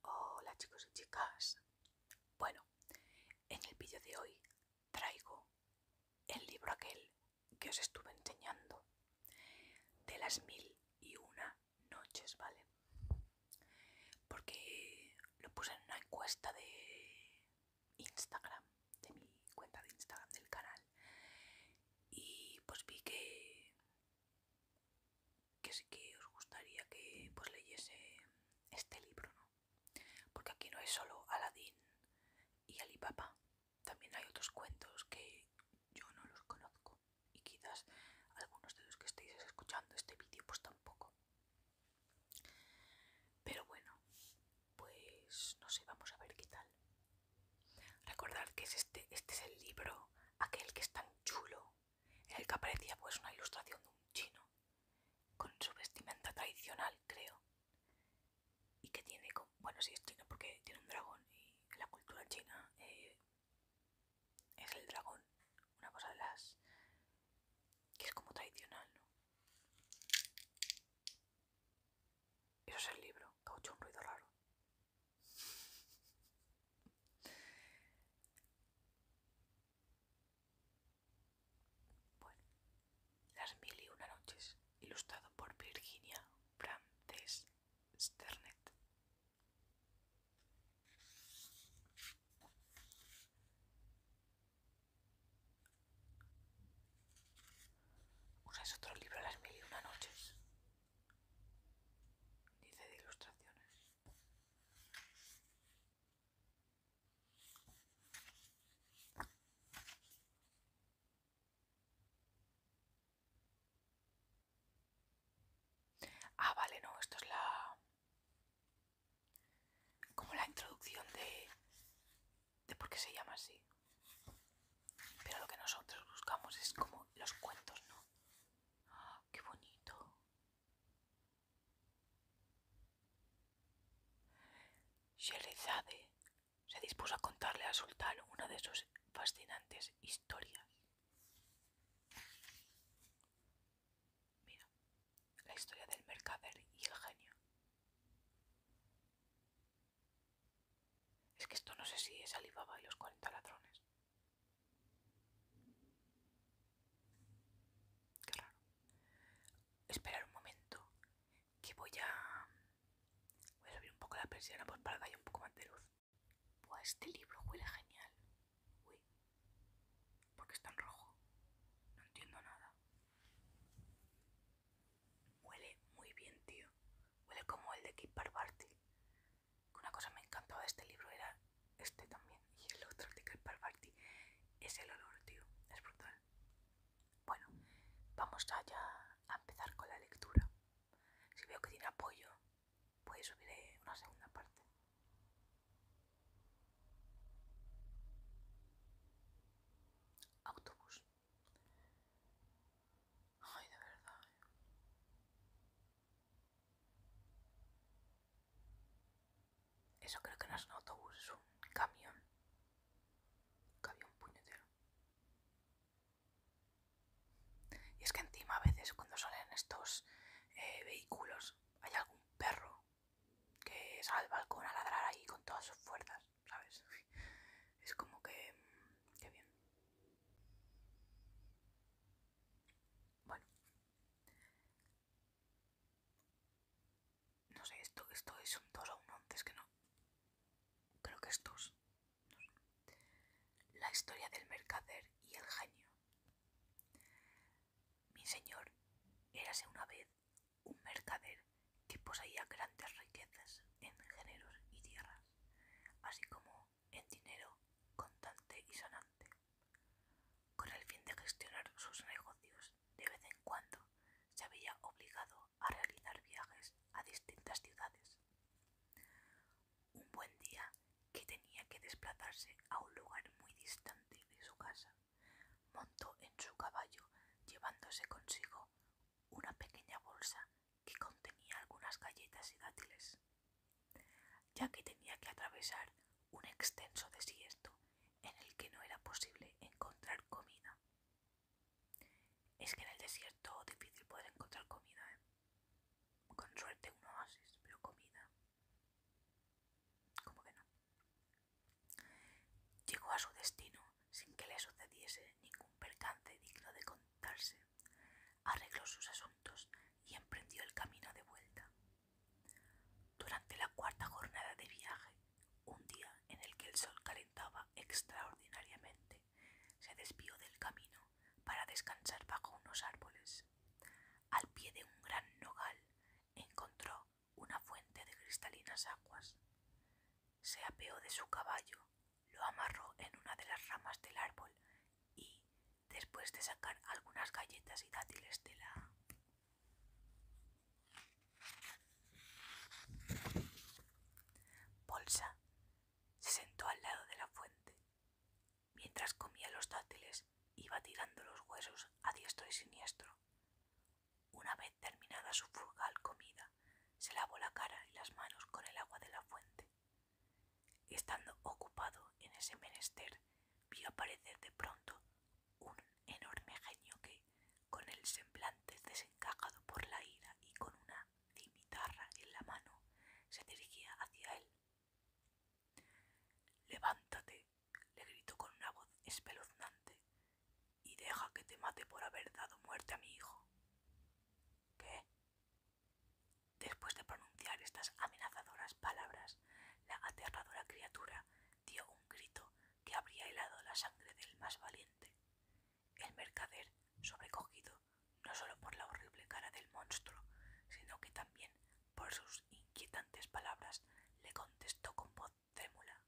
Hola chicos y chicas. Bueno, en el vídeo de hoy traigo el libro aquel que os estuve enseñando de las mil y una noches, ¿vale? Porque lo puse en una encuesta de Instagram, de mi cuenta de Instagram del canal. Y pues vi que, que sí que os gustaría que pues leyese este libro, ¿no? Porque aquí no es solo Aladín y Alipapa, también hay otros cuentos que yo no los conozco y quizás algunos de los que estéis escuchando este vídeo pues tampoco. Pero bueno, pues no sé, vamos a ver qué tal. Recordad que es este, este es el libro, aquel que es tan chulo, en el que aparecía pues una ilustración de un chino, con su vestimenta tradicional, creo. Y que tiene, como... bueno sí es chino porque tiene un dragón y la cultura china eh, es el dragón, una cosa de las que es como tradicional, ¿no? Eso es el libro, caucho un ruido raro. Bueno, Las mil y una noches, ilustrado por Virginia Frances Sternet es otro libro de las mil y una noches? Dice de ilustraciones. Ah, vale, no, esto es la... Como la introducción de, de por qué se llama así. Pero lo que nosotros buscamos es como los cuentos, ¿no? ¡Ah, ¡Qué bonito! Sherezade se dispuso a contarle a sultán una de sus fascinantes historias. Mira, la historia del mercader y el genio. Es que esto no sé si es Alibaba y los 40 ladrones. Qué raro. Esperar un momento, que voy a... Voy a subir un poco la persiana pues para darle un poco más de luz. Pues este libro huele genial. Uy, ¿por qué está en rojo? No entiendo nada. Huele muy bien, tío. Huele como el de Keeper Party. Una cosa me encantó de este libro era este también. Y el otro de Keeper Party es el olor, tío. Es brutal. Bueno, vamos allá a empezar con la lectura. Si veo que tiene apoyo, puedes subir eh, una segunda parte. Autobús. Ay, de verdad. Eh. Eso creo que no es un autobús, es un camión. Camión puñetero. Y es que encima a veces cuando salen estos eh, vehículos hay algún perro que sale al balcón a ladrar ahí con todas sus fuerzas, ¿sabes? Es como que... Mm, ¡Qué bien. Bueno. No sé, esto, es un 2 o un 11, que no. Creo que estos. No La historia del mercader y el genio. Mi señor, érase una vez un mercader que poseía grandes riquezas en géneros y tierras, así como en dinero contante y sonante. Con el fin de gestionar sus negocios, de vez en cuando se había obligado a realizar viajes a distintas ciudades un buen día que tenía que desplazarse a un lugar muy distante de su casa. Montó en su caballo llevándose consigo una pequeña bolsa que contenía algunas galletas y dátiles. Ya que tenía que atravesar un extenso desierto en el que no era posible encontrar comida. Es que en el desierto difícil poder encontrar comida, ¿eh? Con suerte un oasis, pero comida. —¿Cómo que no. Llegó a su destino sin que le sucediese ningún percance digno de contarse. Arregló sus asuntos y emprendió el camino de vuelta. Durante la cuarta jornada de viaje, un día en el que el sol calentaba extraordinariamente, se desvió del camino para descansar bajo unos árboles. Al pie de un gran nogal encontró una fuente de cristalinas aguas. Se apeó de su caballo, lo amarró en una de las ramas del árbol y, después de sacar algunas galletas y dátiles de la... bolsa, se sentó al lado de la fuente. Mientras comía los dátiles, iba tirando los huesos a diestro y siniestro. Una vez terminada su frugal comida, se lavó la cara y las manos con el agua de la fuente. Estando ocupado en ese menester, vio aparecer de pronto un enorme genio que, con el semblante desencajado por la ira y con una cimitarra en la mano, se dirigía hacia él. Levántate, le gritó con una voz espeluznante, y deja que te mate por haber dado muerte a mi hijo. ¿Qué? Después de pronunciar estas amenazadoras palabras, la aterradora criatura dio un grito que habría helado la sangre del más valiente. El mercader, sobrecogido, no solo por la horrible cara del monstruo, sino que también por sus inquietantes palabras, le contestó con voz trémula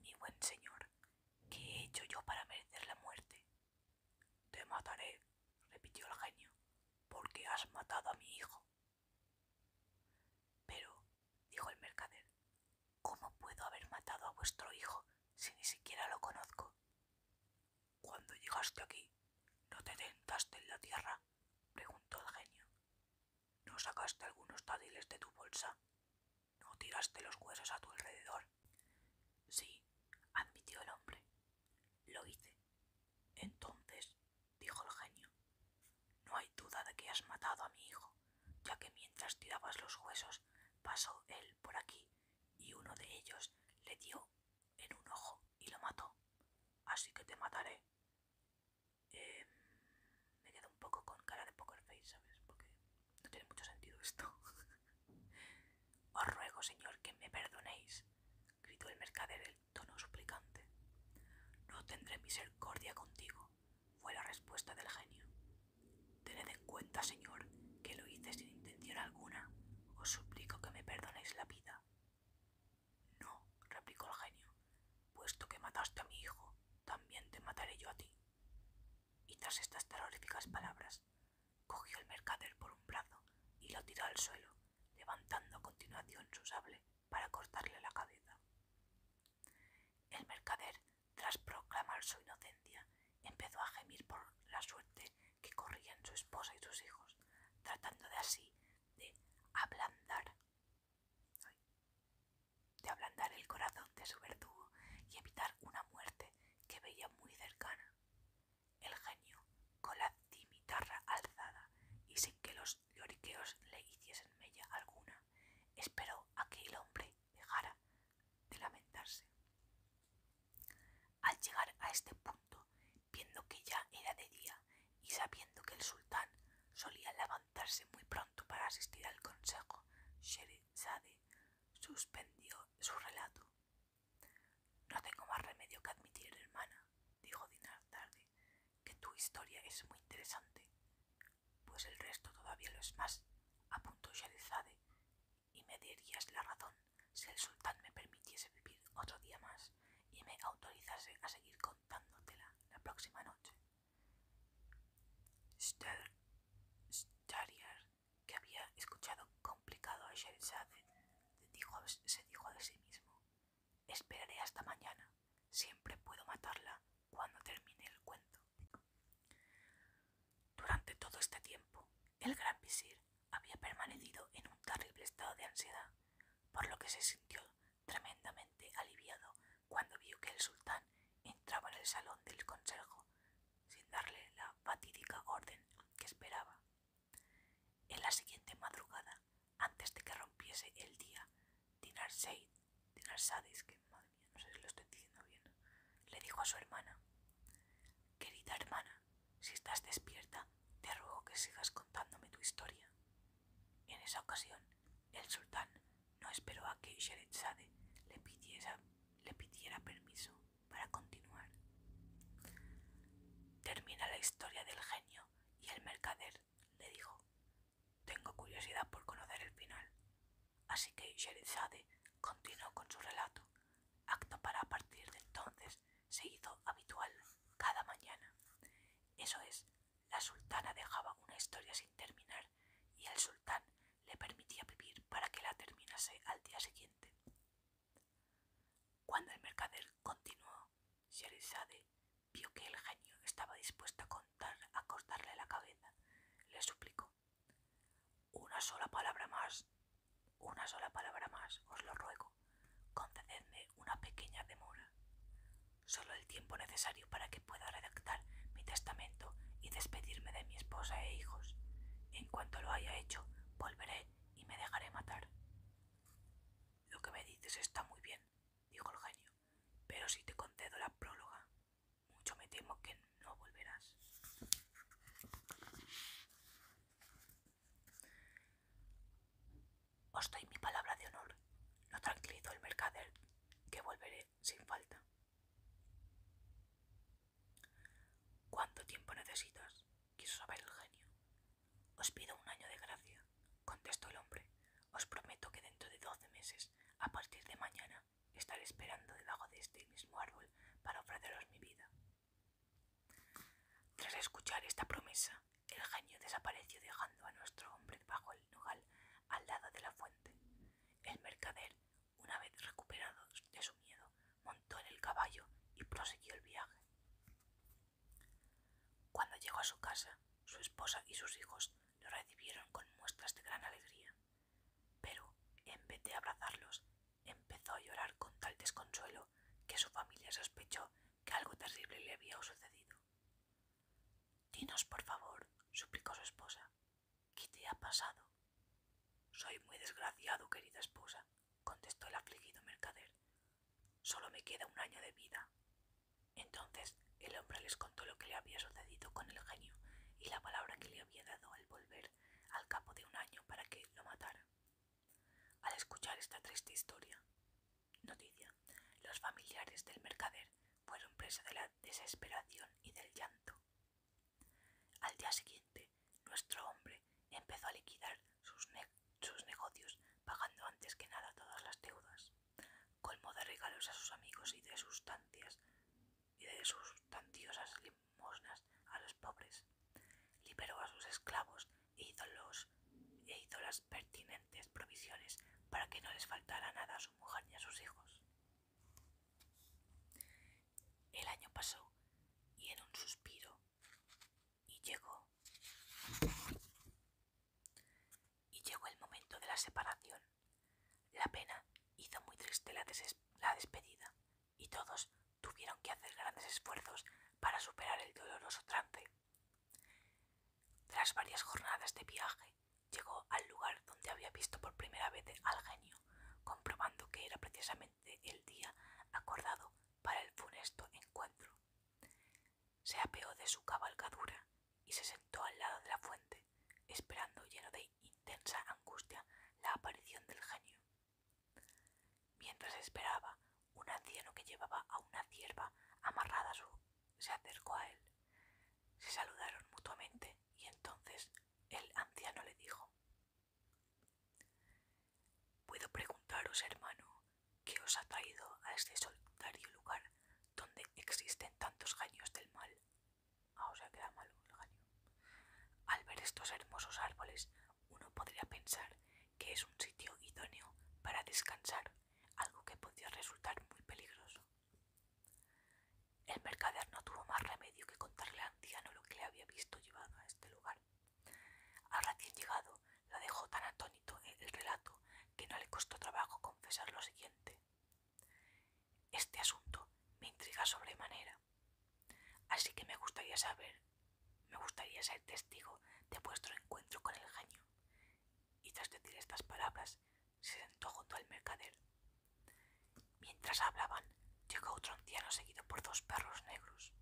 Mi buen señor, ¿qué he hecho yo para merecer la muerte? Te mataré, repitió el genio, porque has matado a mi hijo. Pero, dijo el mercader, ¿cómo puedo haber matado a vuestro hijo si ni siquiera lo conozco? Cuando llegaste aquí, ¿no te tentaste en la tierra? preguntó el genio. ¿No sacaste algunos dátiles de tu bolsa? ¿No tiraste los huesos a tu alrededor? Sí, admitió el hombre. Lo hice. Entonces, dijo el genio, no hay duda de que has matado a mi hijo, ya que mientras tirabas los huesos pasó él por aquí y uno de ellos le dio en un ojo y lo mató. Así que te mataré. Em, me quedo un poco con cara de poker face, ¿sabes? Porque no tiene mucho sentido esto. Os ruego, señor, que me perdonéis, gritó el mercader en tono suplicante. No tendré misericordia contigo, fue la respuesta del genio. Tened en cuenta, señor, que lo hice sin intención alguna os suplico que me perdonéis la vida. No, replicó el genio, puesto que mataste a mi hijo, también te mataré yo a ti. Y tras estas terroríficas palabras, cogió el mercader por un brazo y lo tiró al suelo, levantando a continuación su sable para cortarle la cabeza. El mercader, tras proclamar su inocencia, empezó a gemir por la suerte que corrían su esposa y sus hijos, tratando de así de ablandar, de ablandar el corazón de su verdugo y evitar una muerte que veía muy cercana. El genio, con la cimitarra alzada y sin que los lloriqueos le hiciesen mella alguna, esperó a que el hombre dejara de lamentarse. Al llegar a este punto, viendo que ya era de día y sabiendo que el sultán solía levantarse muy pronto para asistir al consejo, Zade suspendió su relato. No tengo más remedio que admitir, hermana, dijo Dinar tarde, que tu historia es muy interesante, pues el resto todavía lo es más, apuntó Sherezade y me dirías la razón si el sultán me permitiese vivir otro día más y me autorizase a seguir contándotela la próxima noche. Stariar, que había escuchado complicado a Sherzade, dijo, se dijo de sí mismo, esperaré hasta mañana, siempre puedo matarla cuando termine el cuento. Durante todo este tiempo, el gran visir había permanecido en un terrible estado de ansiedad, por lo que se sintió tremendamente aliviado cuando vio que el sultán entraba en el salón del consejo sin darle la fatídica orden que esperaba. En la siguiente madrugada, antes de que rompiese el día, Dinar Seid, Dinar que madre mía, no sé si lo estoy diciendo bien, le dijo a su hermana, querida hermana, si estás despierta, te ruego que sigas contándome tu historia. En esa ocasión, el sultán no esperó a que Sherezade le pidiera, le pidiera permiso para continuar. Termina la historia del genio y el mercader le dijo, tengo curiosidad por conocer el final. Así que Sherezade continuó con su relato acto para a partir de entonces se hizo habitual cada mañana. Eso es, la sultana dejaba una historia sin terminar y el sultán le permitía vivir para que la terminase al día siguiente. Cuando el mercader continuó, Sherizade vio que el genio estaba dispuesto a contar a cortarle la cabeza. Le suplicó una sola palabra más, una sola palabra más, os lo ruego. Concededme una pequeña demora. Solo el tiempo necesario para que pueda redactar mi testamento y despedirme de mi esposa e hijos. En cuanto lo haya hecho, volveré y me dejaré matar. Lo que me dices está muy bien, dijo el genio, pero si te concedo la próloga, mucho me temo que no volverás. Os doy mi palabra de honor, No tranquilizo el mercader, que volveré sin falta. ¿Cuánto tiempo necesitas? quiso saber el genio. Os pido un año de gracia, contestó el hombre. Os prometo que dentro de doce meses, a partir de mañana, estaré esperando debajo de este mismo árbol para ofreceros mi vida. Tras escuchar esta promesa, el genio desapareció dejando a nuestro hombre bajo el nogal al lado de la fuente. El mercader, una vez recuperado de su miedo, montó en el caballo y prosiguió el viaje. Cuando llegó a su casa, su esposa y sus hijos lo recibieron con muestras de gran alegría. Pero, en vez de abrazarlos, empezó a llorar con tal desconsuelo que su familia sospechó que algo terrible le había sucedido. Dinos, por favor, suplicó su esposa, ¿qué te ha pasado? Soy muy desgraciado, querida esposa, contestó el afligido mercader. Solo me queda un año de vida. Entonces el hombre les contó lo que le había sucedido con el genio y la palabra que le había dado al volver al cabo de un año para que lo matara. Al escuchar esta triste historia, noticia, los familiares del mercader fueron presa de la desesperación y del llanto. Al día siguiente, nuestro hombre empezó a liquidar sus, sus negocios pagando antes que nada todas las deudas, colmo de regalos a sus amigos y de sustancias y de sustanciosas limpias. Mosnas a los pobres. Liberó a sus esclavos e, e hizo, las pertinentes provisiones para que no les faltara nada a su mujer ni a sus hijos. El año pasó y en un suspiro y llegó y llegó el momento de la separación. La pena hizo muy triste la despedida, y todos tuvieron que hacer grandes esfuerzos para superar el doloroso trance. Tras varias jornadas de viaje, llegó al lugar donde había visto por primera vez al genio, comprobando que era precisamente el día acordado para el funesto encuentro. Se apeó de su cabalgadura y se sentó al lado de la fuente, esperando lleno de intensa angustia la aparición del genio. Mientras esperaba, un anciano que llevaba a una cierva amarrada a su se acercó a él. Se saludaron mutuamente y entonces el anciano le dijo Puedo preguntaros, hermano, qué os ha traído a este solitario lugar donde existen tantos genios del mal. Ah, queda Al ver estos hermosos árboles, uno podría pensar que es un sitio idóneo para descansar, algo que podría resultar muy peligroso. El mercader no tuvo más remedio que contarle al anciano lo que le había visto llevado a este lugar. Al recién llegado, la dejó tan atónito el relato que no le costó trabajo confesar lo siguiente. Este asunto me intriga sobremanera. Así que me gustaría saber, me gustaría ser testigo de vuestro encuentro con el genio. Y tras decir estas palabras, se sentó junto al mercader. Mientras hablaban, llegó otro anciano seguido por dos perros negros.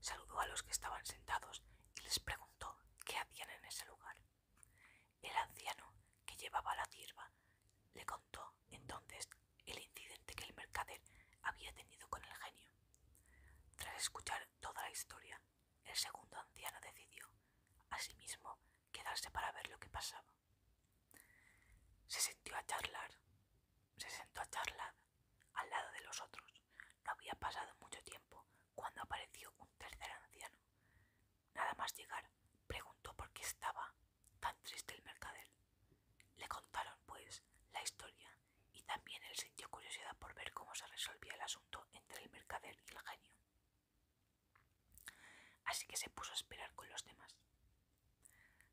Saludó a los que estaban sentados y les preguntó qué hacían en ese lugar. El anciano, que llevaba la cierva, le contó entonces el incidente que el mercader había tenido con el genio. Tras escuchar toda la historia, el segundo anciano decidió, asimismo, quedarse para ver lo que pasaba. Se sentó a charlar, se sentó a charlar al lado de los otros. No había pasado mucho tiempo cuando apareció un tercer anciano. Nada más llegar, preguntó por qué estaba tan triste el mercader. Le contaron, pues, la historia y también él sintió curiosidad por ver cómo se resolvía el asunto entre el mercader y el genio. Así que se puso a esperar con los demás.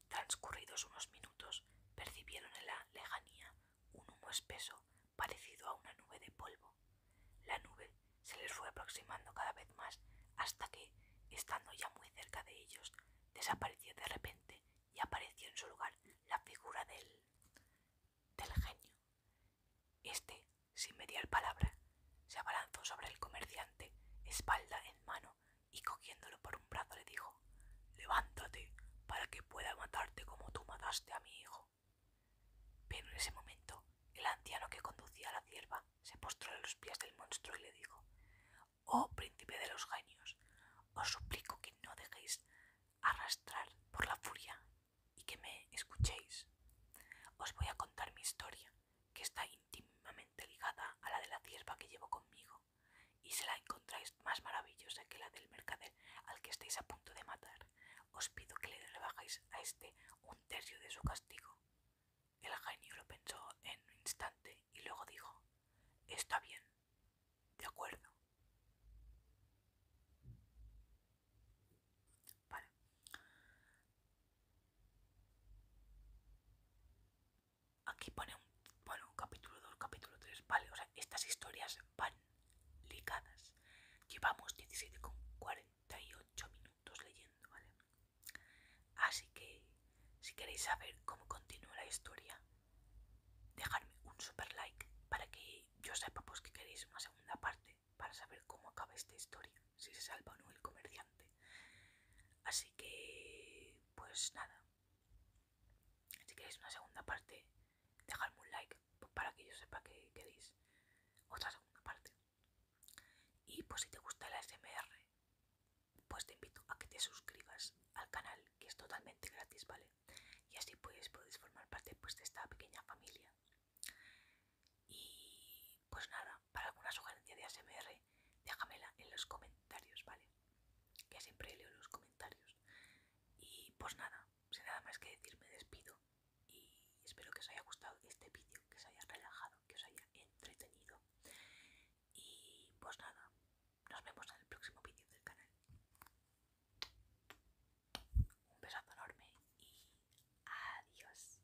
Transcurridos unos minutos, percibieron en la lejanía un humo espeso parecido a una nube de polvo. La nube se les fue aproximando cada vez más hasta que Estando ya muy cerca de ellos, desapareció de repente y apareció en su lugar la figura del, del genio. Este, sin mediar palabra, se abalanzó sobre el comerciante, espalda en mano, y cogiéndolo por un brazo le dijo Levántate para que pueda matarte como tú mataste a mi hijo. Pero en ese momento el anciano que conducía a la cierva se postró a los pies del monstruo y le dijo Oh príncipe de los genios, os suplico que no dejéis arrastrar por la furia y que me escuchéis. Os voy a contar mi historia, que está íntimamente ligada a la de la cierva que llevo conmigo, y si la encontráis más maravillosa que la del mercader al que estáis a punto de matar, os pido que le rebajéis a este un tercio de su castigo. El genio lo pensó en un instante y luego dijo, Está bien, de acuerdo. Aquí pone un, bueno, capítulo 2, capítulo 3, vale, o sea, estas historias van ligadas. Llevamos 17,48 minutos leyendo, ¿vale? Así que, si queréis saber cómo continúa la historia, dejadme un super like para que yo sepa pues que queréis una segunda parte para saber cómo acaba esta historia, si se salva o no el comerciante. Así que, pues nada. Si queréis una segunda parte, dejadme un like pues, para que yo sepa que queréis otra segunda parte. Y pues si te gusta el ASMR pues te invito a que te suscribas al canal, que es totalmente gratis, ¿vale? Y así pues podéis formar parte pues, de esta pequeña familia. Y pues nada, para alguna sugerencia de ASMR, déjamela en los comentarios, ¿vale? Que siempre leo los comentarios. Y pues nada, sin nada más que decir, me despido. Y espero que os haya gustado este vídeo, que os haya relajado, que os haya entretenido. Y pues nada, nos vemos en el próximo vídeo del canal. Un besazo enorme y adiós.